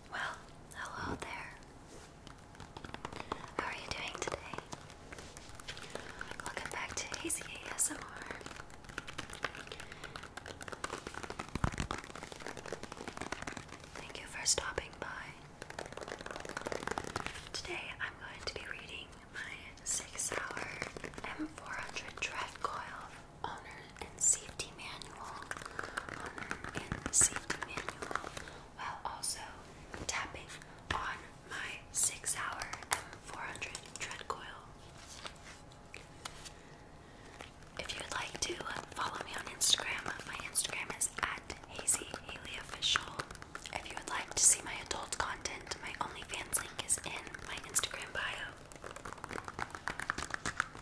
Well, hello there. How are you doing today? Welcome back to ACASMR. Thank you for stopping by. Today I'm going to be reading my six hour M400 Dread Coil Owner um, and safety manual while also tapping on my six hour M400 tread coil. If you'd like to uh, follow me on Instagram, uh, my Instagram is at Hazy Haley Official. If you would like to see my adult content, my OnlyFans link is in my Instagram bio.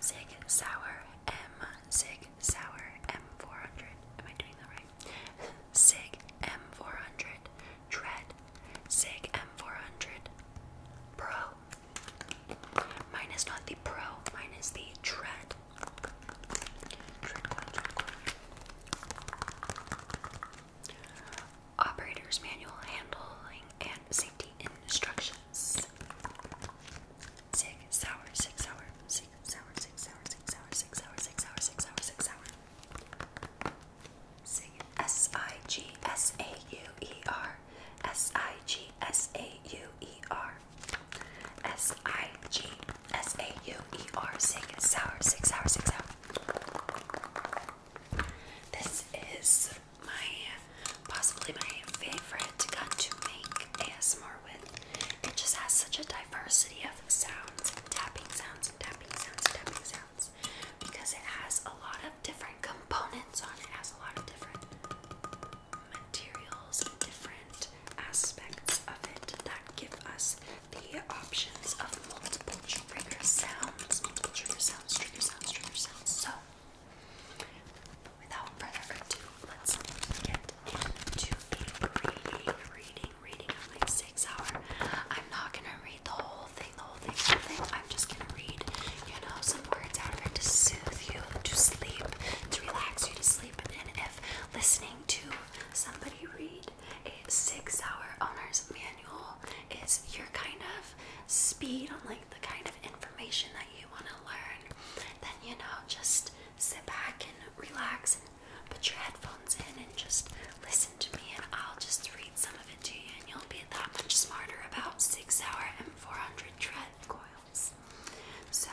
Sig Sauer M Sig Sauer M400. Am I doing that right? Sig M400 Dread Sig M400 Pro. Minus not the Pro, Minus the Dread. Operator's manual handling and safety instructions delicious. Sig sour, sig sour, sig sour, sig sour, sig sour, sig sour, sig sour, sig sour, sig sour. Sig S I G S A U E R S I G S A U E R S I G S A U E R sig sour, sig sour, sig sour. This is my possibly my favorite gun to make ASMR with. It just has such a diversity of sounds, tapping sounds, and tapping sounds, and tapping sounds, because it has a lot of different components on it. it has a lot of different materials and different aspects of it that give us the options of multiple trigger sounds, multiple trigger sounds, trigger sounds, trigger sounds. So Without further ado, let's get into a reading, reading, reading of my six hour. I'm not gonna read the whole thing, the whole thing, the whole thing. I'm just gonna read, you know, some words out of it to soothe you, to sleep, to relax you to sleep. And if listening to somebody read a six hour owner's manual is your kind of speed on like the kind of information that you want to learn, then you know, just sit back and relax and put your headphones in and just listen to me, and I'll just read some of it to you, and you'll be that much smarter about six hour and 400 tread coils. So,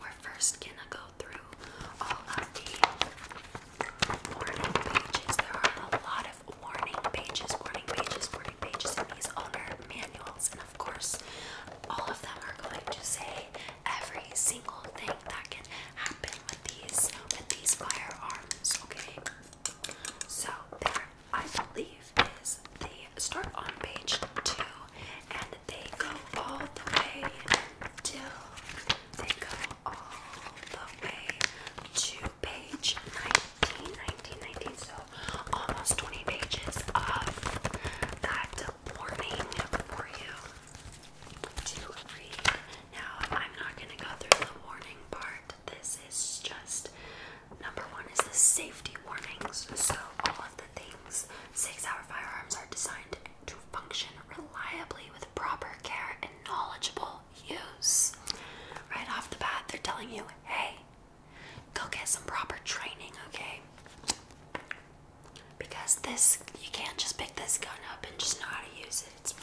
we're first gonna go through all of the morning pages. There are a lot warning pages, warning pages, warning pages in these owner manuals, and of course, all of them are going to say every single thing that can happen with these with these firearms. Okay, so there, I believe, is they start on page two, and they go all the way till they go all the way to page nine. 18, so almost 20 pages of that warning for you to read. Now, I'm not going to go through the warning part. This is just number one is the safety warnings. So, all of the things six hour firearms are designed to function reliably with proper care and knowledgeable use. Right off the bat, they're telling you, hey, Go get some proper training, okay? Because this, you can't just pick this gun up and just know how to use it. It's,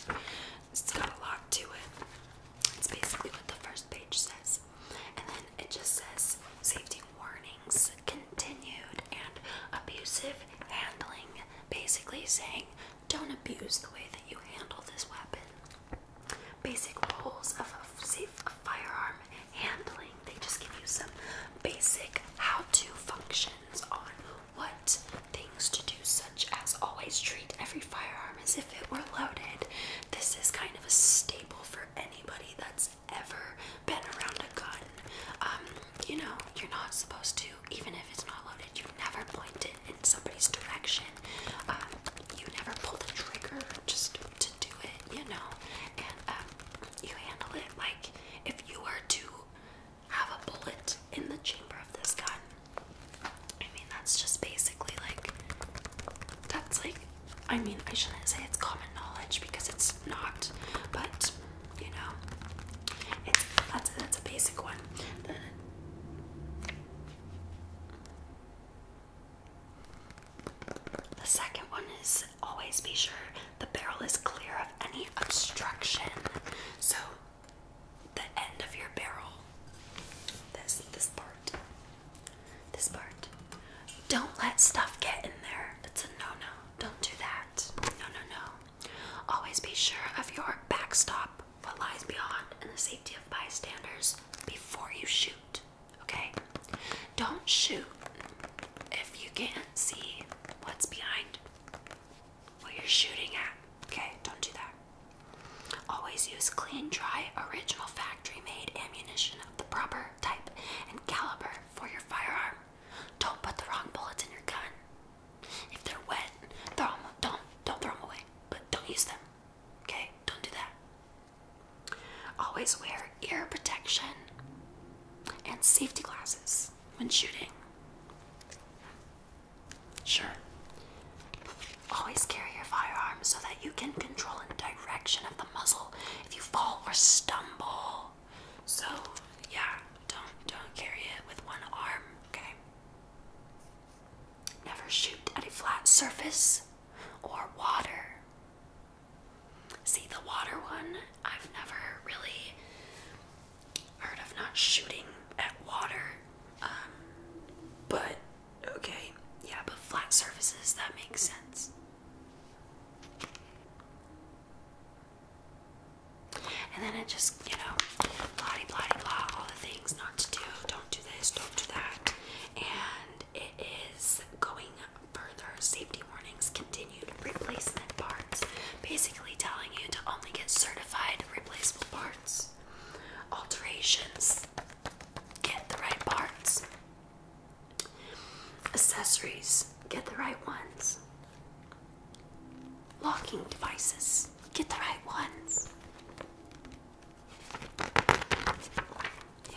it's got a lot to it. It's basically what the first page says. And then it just says safety warnings, continued, and abusive handling. Basically saying, don't abuse the way that you handle this weapon basic rules of safe firearm handling. They just give you some basic how-to functions on what things to do, such as always treat every firearm as if it were loaded. This is kind of a staple for anybody that's ever been around a gun. Um, you know, you're not supposed to, even if it's not loaded, you never point it in somebody's direction. Uh, you never pull the trigger just to do it, you know, and uh, you handle it like if you were to have a bullet in the chamber of this gun. I mean, that's just basically like, that's like, I mean, I shouldn't say it's common knowledge because it's not, but you know, it's that's that's a basic one. The second one is always be sure the barrel is clear of any obstruction. So the end of your barrel, this this part, this part. Don't let stuff get in there. It's a no-no. Don't do that. No, no, no. Always be sure of your backstop, what lies beyond, and the safety of bystanders before you shoot. Okay? Don't shoot if you can't see what's behind what you're shooting at. Okay? Don't do that. Always use clean, dry, original factory made ammunition of the proper type and caliber for your firearm. Don't put the wrong bullets in your gun. If they're wet, throw them. Don't don't throw them away, but don't use them. Okay, don't do that. Always wear ear protection and safety glasses when shooting. Sure. Always carry your firearm so that you can control the direction of the muzzle if you fall or stumble. So, yeah, don't don't carry it with one arm, okay? Never shoot at a flat surface or water. See, the water one, I've never really heard of not shooting at water. Um, but, okay, yeah, but flat surfaces, that makes sense. And then it just, you know, blah blah blah, all the things not to do. Don't do this, don't do that. And it is going further. Safety warnings continued. Replacement parts. Basically telling you to only get certified replaceable parts. Alterations. Get the right parts. Accessories. Get the right ones. Locking devices. Get the right ones.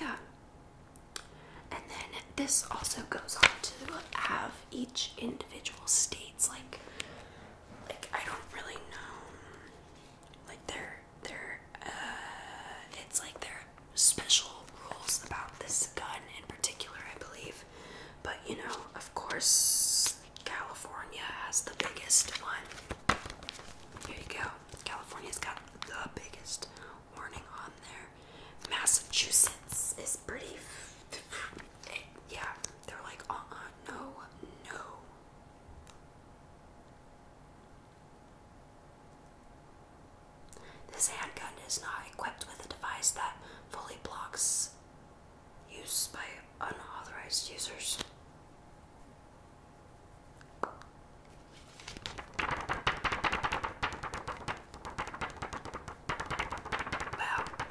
Yeah. And then this also goes on to have each individual states like like I don't really know like their their uh, it's like their special rules about this gun in particular I believe. But you know, of course California has the biggest one. Here you go. California's got the biggest warning on there. Massachusetts is pretty. yeah, they're like, uh uh, no, no. This handgun is not equipped with a device that fully blocks use by unauthorized users.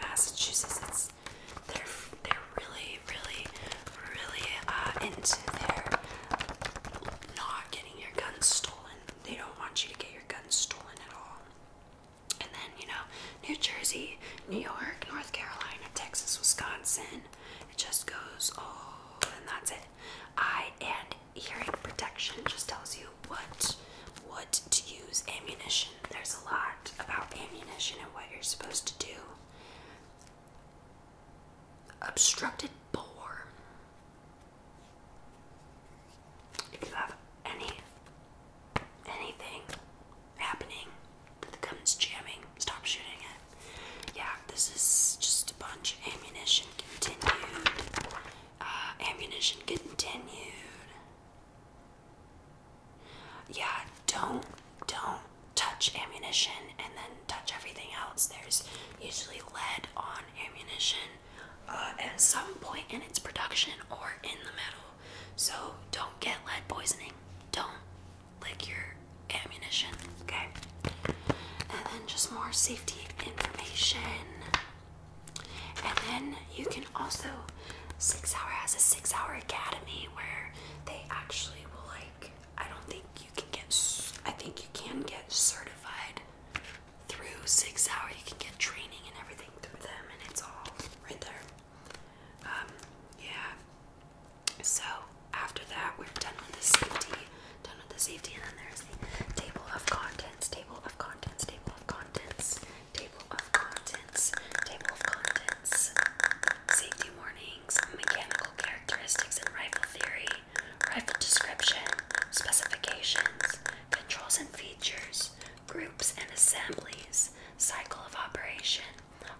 Massachusetts, it's, they're, they're really, really, really uh, into their not getting your guns stolen. They don't want you to get your guns stolen at all. And then, you know, New Jersey, New York, North Carolina, Texas, Wisconsin. It just goes, oh, and that's it. Eye and hearing protection just tells you what what to use. Ammunition. There's a lot about ammunition and what you're supposed to do. Obstructed bore. If you have any anything happening that the gun's jamming, stop shooting it. Yeah, this is just a bunch of ammunition continued. Uh, ammunition continued. Yeah, don't don't touch ammunition and then touch everything else. There's usually lead on ammunition uh, at some point in its production or in the metal. So don't get lead poisoning. Don't like your ammunition, okay? And then just more safety information. And then you can also Six Hour has a Six Hour Academy where they actually will like I don't think you can get I think you can get certified through Six Hour. You can get training and everything through them, and it's all right there. Um, yeah. So after that, we're done with the safety, done with the safety, and then there's the table of contents, table of contents, table of contents, table of contents, table contents, safety warnings, mechanical characteristics and rifle theory, rifle description, specifications, controls and features, groups and assemblies, cycle of operation,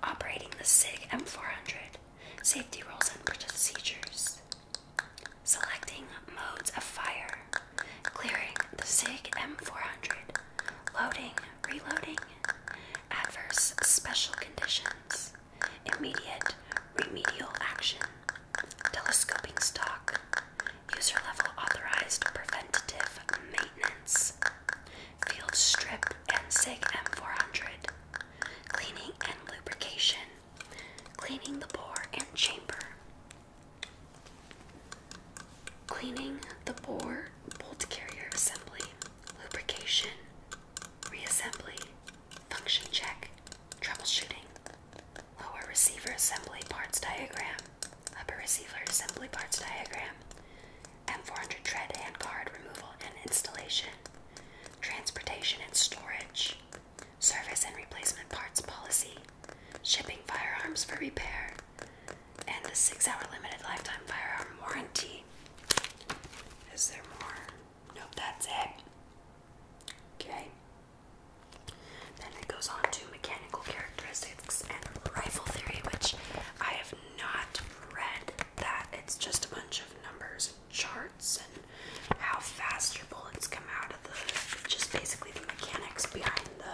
operating the SIG M400, safety rules and procedures selecting modes of fire, clearing the SIG M400, loading, reloading, adverse special conditions, immediate remedial action, telescoping stock, user level authorized preventative maintenance, field strip and SIG M400, cleaning and lubrication, cleaning the bore and chamber. Cleaning the bore bolt carrier assembly, lubrication, reassembly, function check, troubleshooting, lower receiver assembly parts diagram, upper receiver assembly parts diagram, M400 tread and guard removal and installation, transportation, and storage, service and replacement parts policy, shipping firearms for repair, and the six hour limited lifetime firearm warranty. Is there more? Nope, that's it. Okay. Then it goes on to mechanical characteristics and rifle theory, which I have not read that it's just a bunch of numbers and charts and how fast your bullets come out of the just basically the mechanics behind the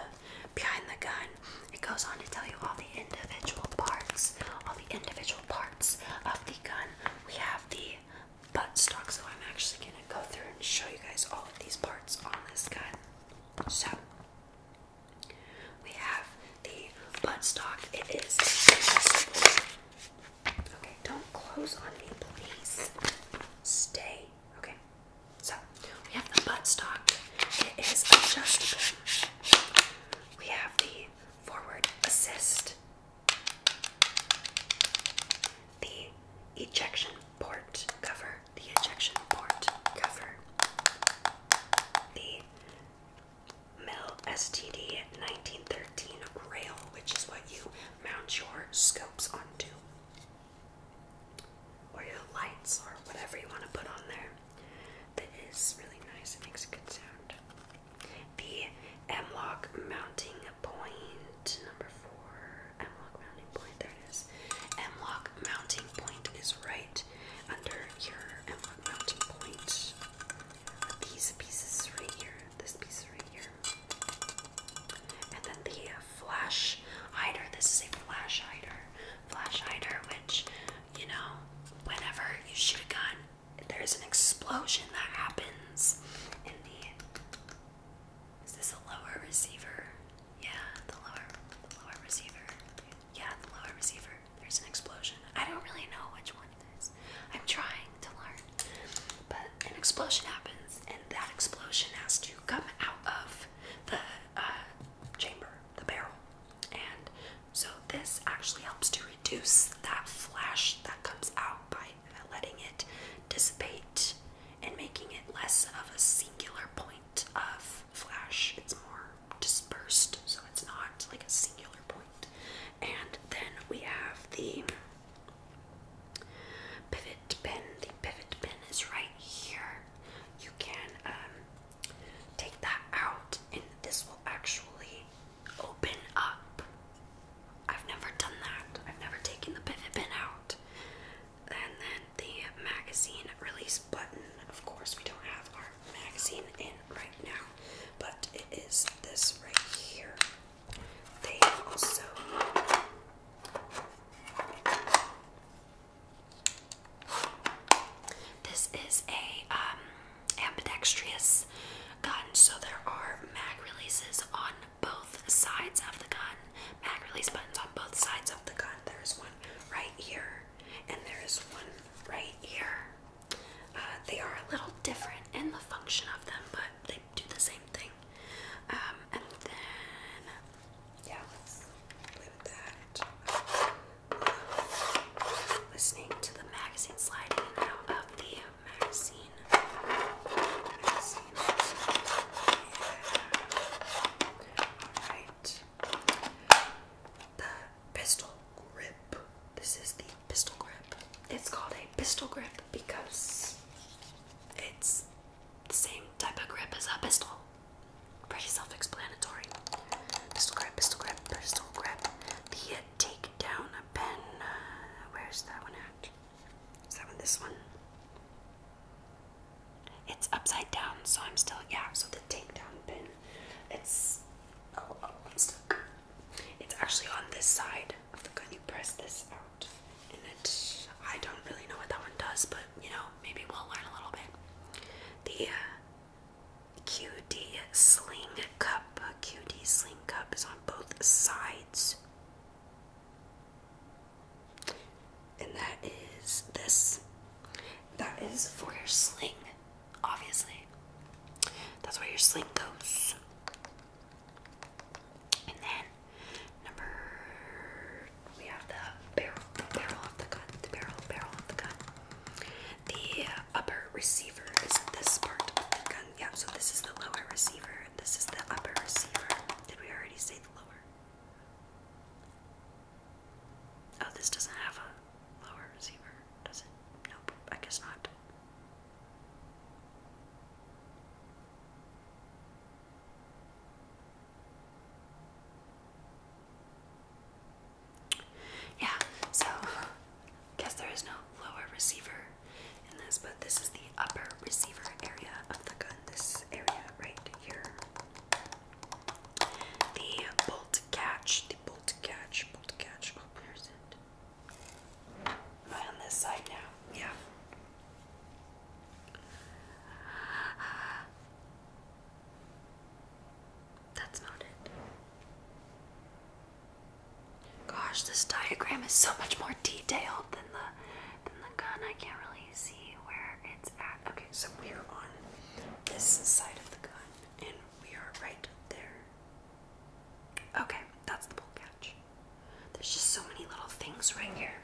behind the gun. It goes on to tell you all the individual parts, all the individual parts of the gun. We have the butt stock, so I'm actually gonna go through and show you guys all of these parts on this gun. So we have the butt stock. It is Okay, don't close on me, please. Stay. Okay. So we have the butt stock. It is adjustable. We have the forward assist. The ejection port cover. The ejection port cover. The Mill STD 1913 rail, which is what you mount your scopes onto, or your lights, or whatever you want to put on there. That is really nice, it makes a good sound. The M MLOC mounting point, number four. M MLOC mounting point, there it is. M MLOC mounting point is right under your M MLOC mounting point these pieces right here, this piece right here, and then the uh, flash hider. This is a flash hider, flash hider, which you know, whenever you shoot a gun, there's an explosion that happens in the. Is this a lower receiver? Yeah, the lower, the lower receiver. Yeah, the lower receiver. There's an explosion. I don't really know which one I'm trying to learn. But an explosion happens, and that explosion has to come out of the uh, chamber, the barrel. And so this actually helps to reduce that flash that comes out by letting it dissipate and making it less of a singular point of flash. It's more dispersed, so it's not like a singular point. And then we have the pivot pin. The pivot pin is right here. You can um, take that out, and this will actually open up. I've never done that. I've never taken the pivot pin out. And then the magazine release button. Of course, we don't have our magazine in right now, but it is this right here this is a um, ambidextrous gun, so there are mag releases on both sides of the gun, mag release buttons on both sides of the gun. There's one right here, and there is one right here. Uh, they are a little different in the function of them, but they do the same thing. Um, and then, yeah, let's that. listening to the magazine slide out of the magazine. Alright. The pistol grip. This is the pistol grip. It's called a pistol grip because it's the same type of grip as a pistol. Pretty self explanatory. Pistol grip, pistol grip, pistol grip. The uh, take down pen. where's that one at? Is that one this one? It's upside down, so I'm still, yeah, so the takedown pin. It's, oh, oh, I'm stuck. It's actually on this side the you press this out, and it, I don't really know what that one does, but you know, maybe we'll learn a little bit. The uh, QD sling cup, QD sling cup is on both sides, and that is this. That is for your sling, obviously. That's where your sling goes. And then number we have the barrel, barrel of the gun, the barrel, barrel of the gun. The upper receiver is this part of the gun. Yeah, so this is the lower receiver. This is the upper receiver. Did we already say the lower? Oh, this doesn't have a lower receiver, does it? Nope, I guess not. Yeah, so guess there is no lower receiver in this, but this is the upper receiver area of the gun. This area right here. The bolt catch, the bolt catch, bolt catch. Oh, where's Am on this side now? Yeah. That's not it. Gosh, this diagram is so much more detailed than the than the gun. I can't really see where it's at. Okay, so we are on this side of the gun, and we are right there. Okay, that's the bull catch. There's just so many little things right here.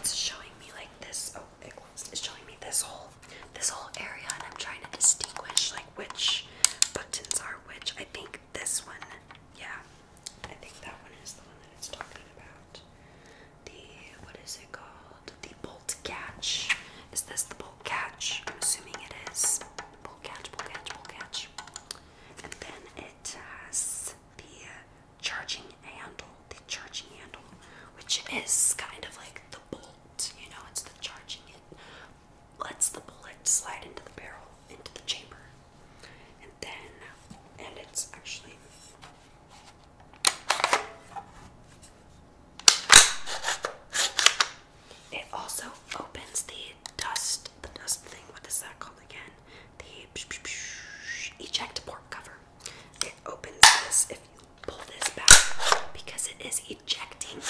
It's showing me like this. Oh, it was. It's showing me this whole, this whole area, and I'm trying to distinguish like which buttons are which. I think this one. Yeah, I think that one is the one that it's talking about. The what is it called? The bolt catch. Is this the bolt catch? I'm assuming it is. Bolt catch. Bolt catch. Bolt catch and then it has the charging handle, the charging handle, which is kind of like the bolt, you know, it's the charging it lets the bullet slide into the barrel, into the chamber. And then and it's actually it also opens the dust the dust thing, what is that called again? The eject port cover. It opens this if you pull this back because it is ejecting.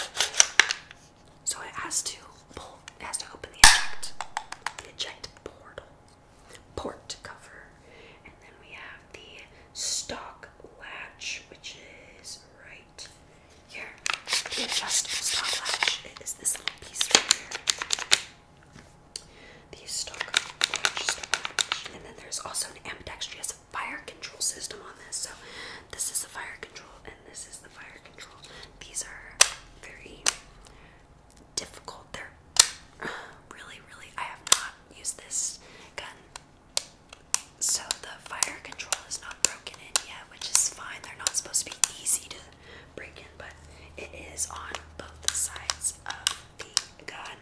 So it has to pull, it has to open the eject, the eject port cover. And then we have the stock latch, which is right here, the adjustable stopwatch. It is this little piece right here. The And then there's also an ambidextrous fire control system on this. So this is the fire control and this is the fire control. These are very difficult. They're really, really, I have not used this gun. So the fire control is not broken in yet, which is fine. They're not supposed to be easy to break in, but it is on both the sides of the gun.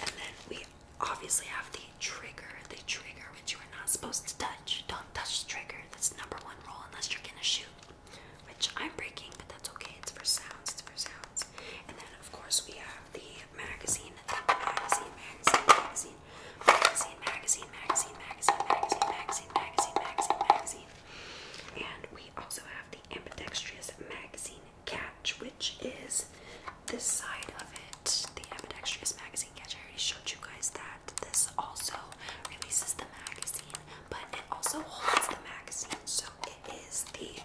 And then we obviously have the trigger, the trigger which you are not supposed to touch. Don't touch the trigger. That's number one rule unless you're gonna shoot. Which I'm breaking, but that's okay. It's for sounds. It's for sounds. And then of course we have the magazine, the magazine, magazine, magazine, magazine, magazine, magazine, magazine, magazine, magazine, magazine, magazine, magazine, And we also have the ambidextrous magazine catch, which is this side of it. The ambidextrous magazine catch. I already showed you guys that. This also releases the magazine, but it also holds the magazine. So it is the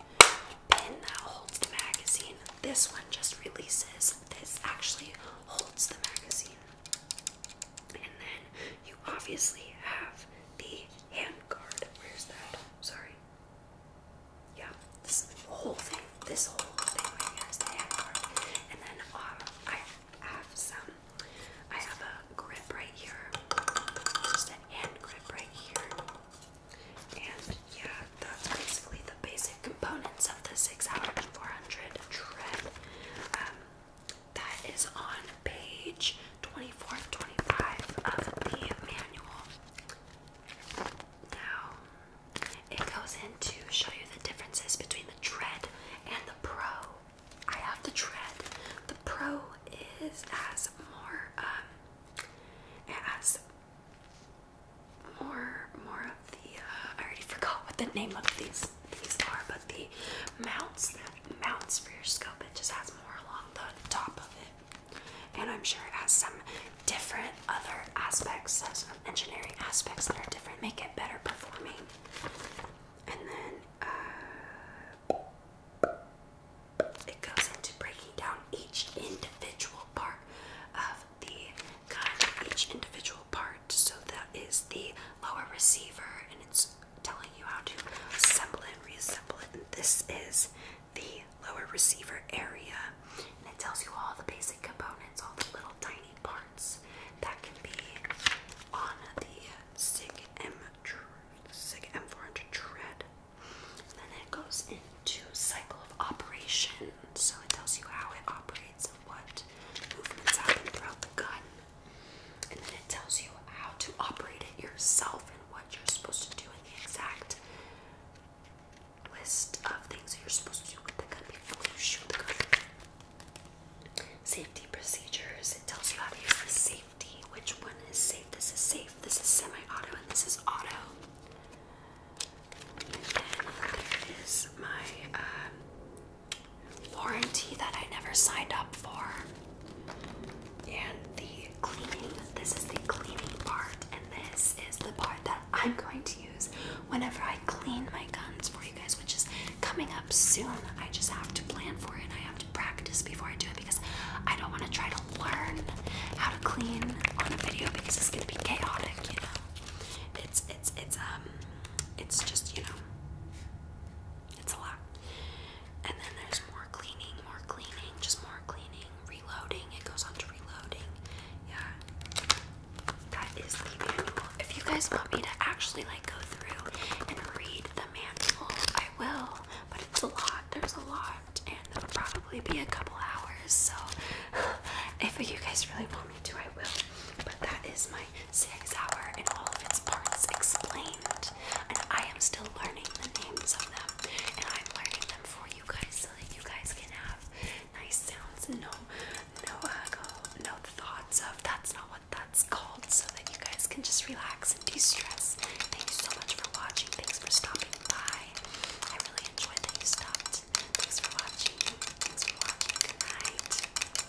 pin that holds the magazine. This one just releases. This actually holds the magazine. And then you obviously have the hand Where's that? Sorry. Yeah, this whole thing, this whole thing right here is the hand guard. And then uh, I have some, I have a grip right here, just a hand grip right here. And yeah, that's basically the basic components of the 6 hour 400 tread. Um, that is on page 24 25 of the manual. Now, it goes in to show you the differences between the Tread and the Pro. I have the Tread. The Pro is as more, um, it more, more of the, uh, I already forgot what the name of these these are, but the mounts mounts for your scope, it just has more along the top of it. And I'm sure it has some different other aspects, some engineering aspects that are different, make it better performing. And then uh, it goes into breaking down each individual part of the gun, each individual part so that is the lower receiver, and it's telling you how to assemble it and reassemble it. this is the lower receiver area, and it tells you all the basic components, all the little tiny parts that can be on the SIG M SIG M400 tread. then it goes into cycle of operation, so it tells you how it operates of what movements happen throughout the gun. And then it tells you how to operate it yourself and what you're supposed to do in the exact list of things that you're supposed to do with the gun before you shoot the gun. Safety procedures. It tells you how to use the safety. Which one is safe? This is safe. This is semi-auto, and this is auto. And then there is my um, warranty that I never signed up for. And the cleaning, this is the cleaning part, and this is the part that I'm going to use whenever I clean my guns for you guys, which is coming up soon. I just have to plan for it. I have to practice before I do it because I don't want to try to learn how to clean on a video because it's gonna be chaotic, you know. It's it's it's um it's just, you know, it's a lot. And then there's more cleaning, more cleaning, just more cleaning, reloading. It goes on to reloading. Yeah. That is the manual. If you guys want me to actually like go through and read the manual, I will. But it's a lot. There's a lot, and it'll probably be a couple hours. So, if you guys really want me to, I will. But that is my Six hour and all of its parts explained. And I am still learning the names of them. And I'm learning them for you guys so that you guys can have nice sounds and no no echo, uh, no thoughts of that's not what that's called so that you guys can just relax and de-stress. Thank you so much for watching. Thanks for stopping by. I really enjoyed that you stopped. Thanks for watching. Thanks for watching. Good night.